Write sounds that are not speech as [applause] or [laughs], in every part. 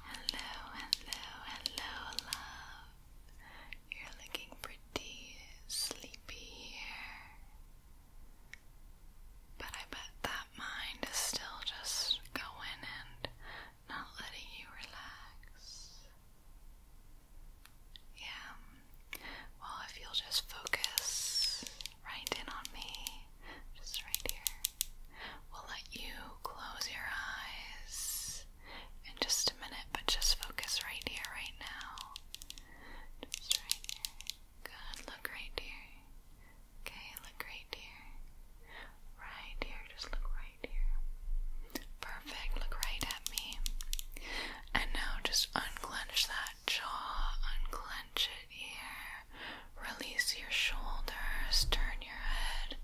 Hello, hello, hello, love. You're looking pretty sleepy here. But I bet that mind is still just going and not letting you relax. Yeah. Well, if you'll just focus right in on me, just right here. We'll let you close your eyes in just a minute, but just focus right here, right now. Just right here. Good, look right here. Okay, look right here. Right here, just look right here. Perfect, look right at me. And now just unclench that jaw, unclench it here. Release your shoulders, turn your head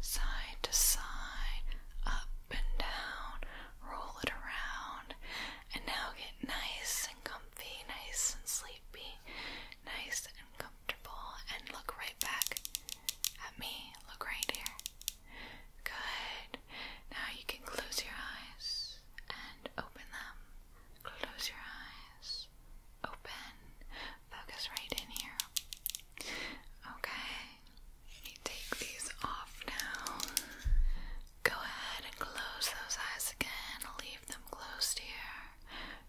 side to side, up and down, roll it around, and now get nice and comfy, nice and sleepy, nice and comfortable, and look right back at me. Look right here. Good. Now you can close your eyes and open them Close your eyes. Open. Focus right in here. Okay. Let me take these off now. Go ahead and close those eyes again. Leave them closed here.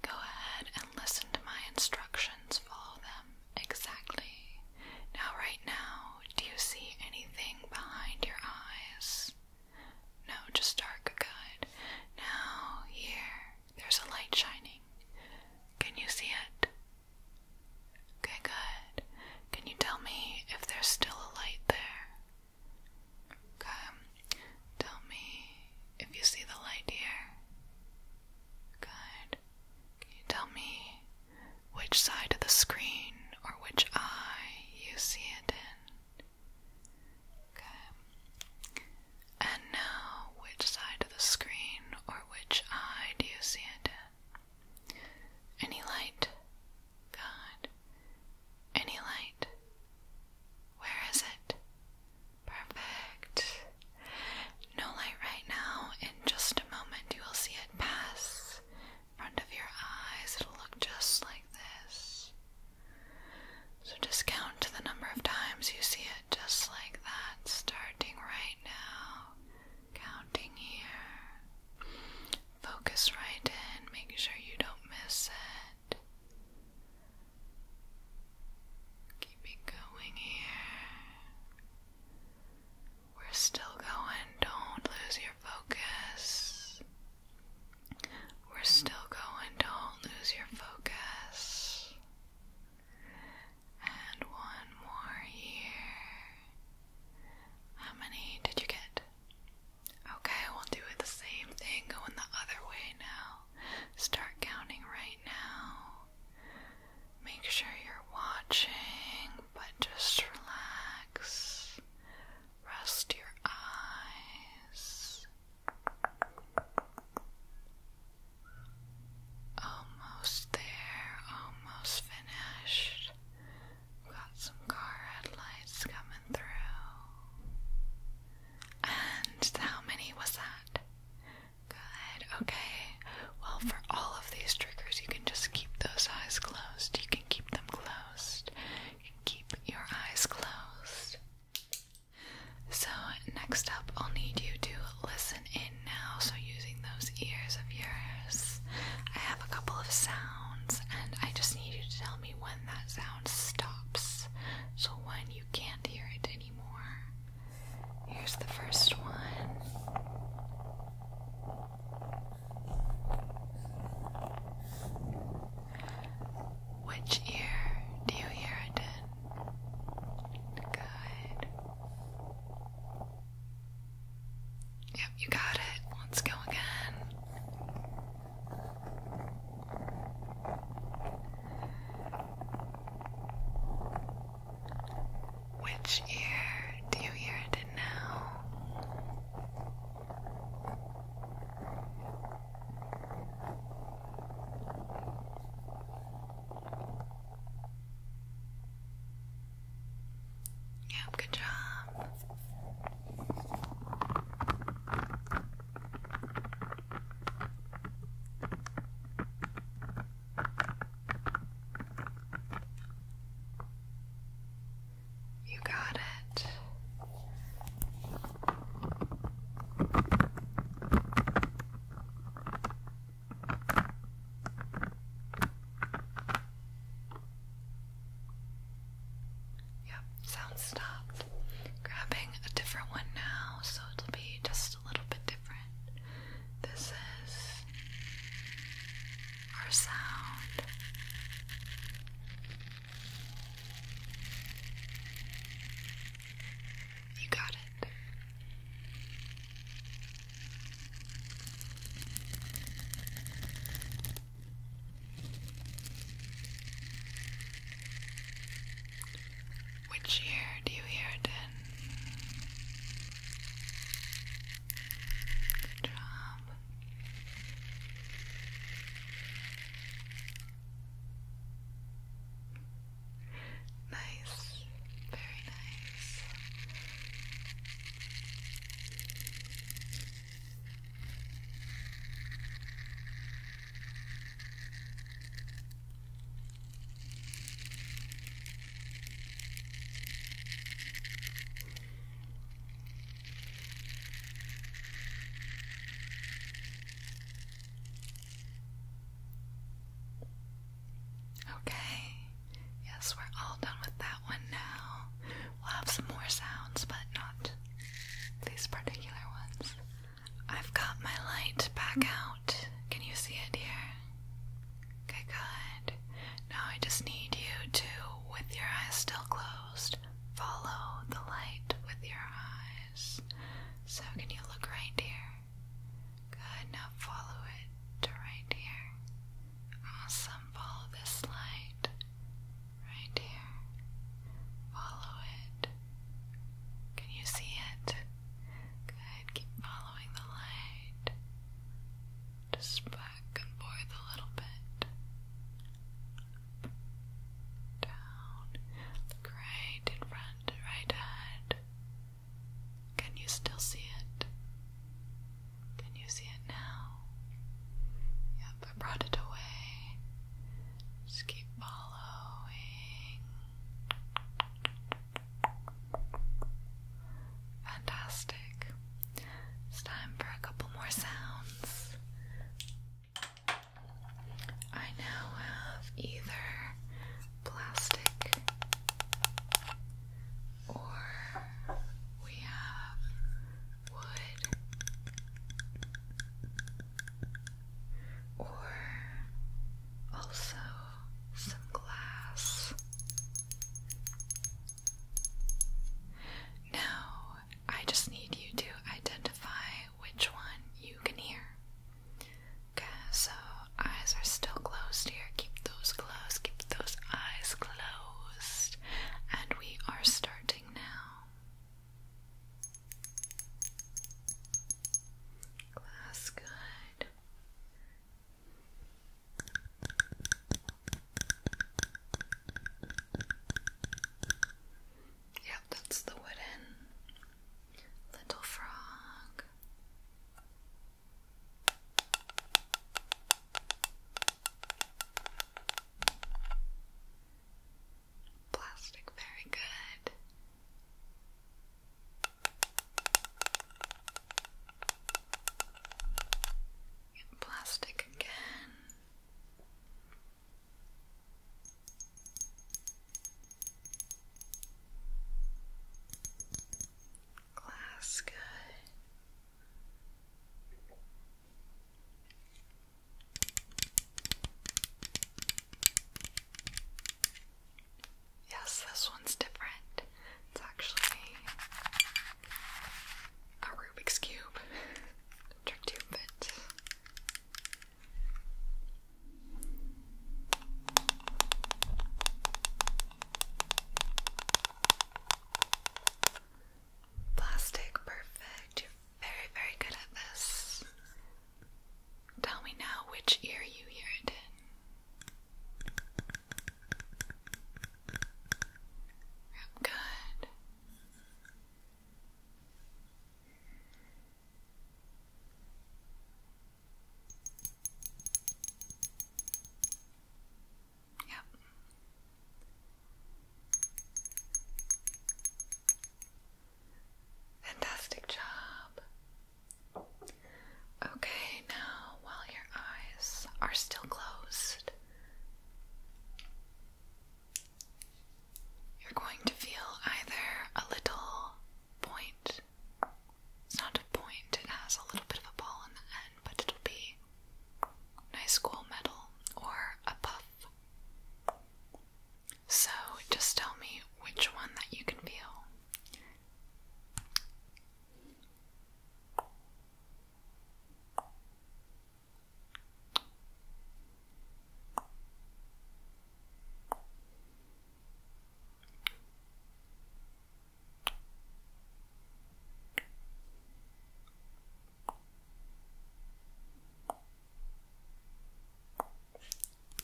Go ahead and listen to my instructions. Follow them exactly. Now, right now, do you see anything behind your eyes? No, just dark, good. Now, here, there's a light shining. Can you see it? Okay, good. Can you tell me if there's still a light there? Okay. Tell me if you see the light here. Good. Can you tell me which side of the screen or which eye you see it in? Okay. And now, which side of the screen or which eye do you see it Any light? Good. Any light? Where is it? Perfect. No light right now. In just a moment, you will see it pass front of your eyes. It'll look just like this. So just count the number of times you see it just like that, starting right now. Counting here. Focus right in, Make sure you don't miss it. Keep it going here. We're still going. Don't lose your focus. We're still going, don't lose your focus. And one more here. How many did you get? Okay, we'll do it the same thing, going the other way now. Start counting right now. Make sure you're watching, but just relax. Rest your eyes almost there, almost finished. got some car headlights coming through. And how many was that? Good, okay. Well, for all of these triggers, you can just keep those eyes closed. You can keep them closed. keep your eyes closed. So, next up, I'll need you to listen in now. So, using those ears of yours, I have a couple of sounds, and I just need you to tell me when that sound stops. So, when you can't hear it anymore. Here's the first one. Which ear do you hear it in? Good. Yep, you got it. Let's go again. Which ear do you hear it in now? Yep, good job. You got it. Yep, sound stopped. Grabbing a different one now, so it'll be just a little bit different. This is or sound. You got it. Which year do you hear it in? Good job. Nice, very nice. Okay, yes, we're all done with that one now. We'll have some more sounds, but not these particular ones. I've got my light back out. Can you see it dear? good. Now I just need you to, with your eyes still closed, follow the light with your eyes. So, can you look right here? Good. Now follow it to right here. Awesome. Follow this light right here. Follow it. Can you see it? Good, keep following the light. Just back and forth a little bit. down. Look in front, right ahead. Can you still see it? Can you see it now? Yep, I brought it away. Just keep following. Fantastic. It's time for a couple more sounds. I now have either plastic or we have wood or also some glass. Now, I just need you to identify which one you can hear. Okay, so eyes are still closed here. Keep those closed, keep those eyes closed. And we are starting now. Glass, good. Yep, that's the wooden little frog. Plastic, very good plastic again. Glass good. Yes, this one's different. It's actually a Rubik's Cube. [laughs] Trick tube bit. Plastic, perfect. You're very, very good at this. Tell me now which ear you hear it in. Yep, good. Yep. Fantastic job. Okay, now while your eyes are still closed, you're going to feel either a little point. It's not a point, it has a little bit of a ball in the end, but it'll be nice cool metal or a puff. So just tell me which one that you can feel.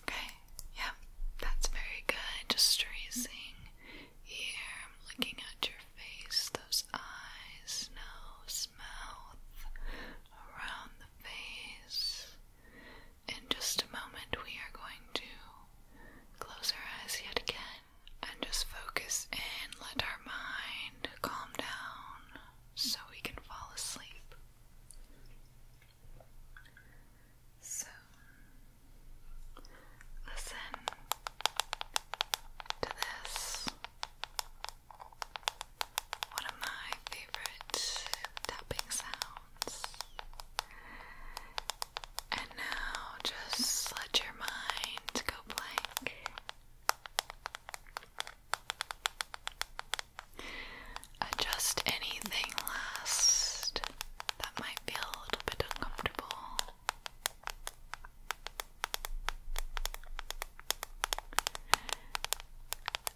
Okay, yeah, that's very good. Just tracing here. I'm looking at your face, those eyes, nose, mouth, around the face. In just a moment, we are going to close our eyes yet again and just focus in. Let our mind calm down so we can fall asleep. So, listen to this. One of my favorite tapping sounds. And now just let your mind go blank. Adjust anything last that might feel a little bit uncomfortable.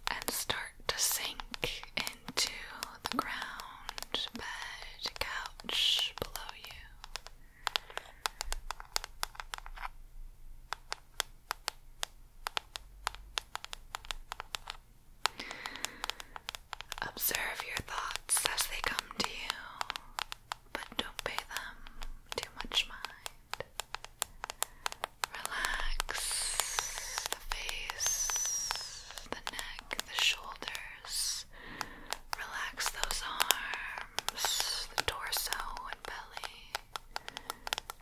And start to sink into the ground, bed, couch below you. Observe your thoughts as they come to you, but don't pay them too much mind. Relax the face, the neck, the shoulders. Relax those arms, the torso and belly.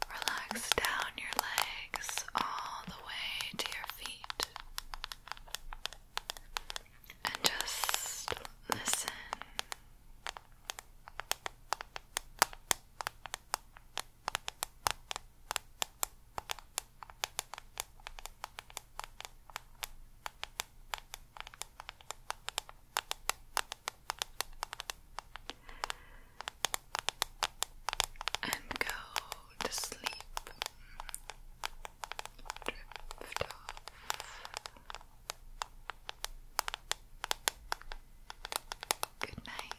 Relax down your legs all the way to your feet. And just listen and go to sleep. Drift off. Good night.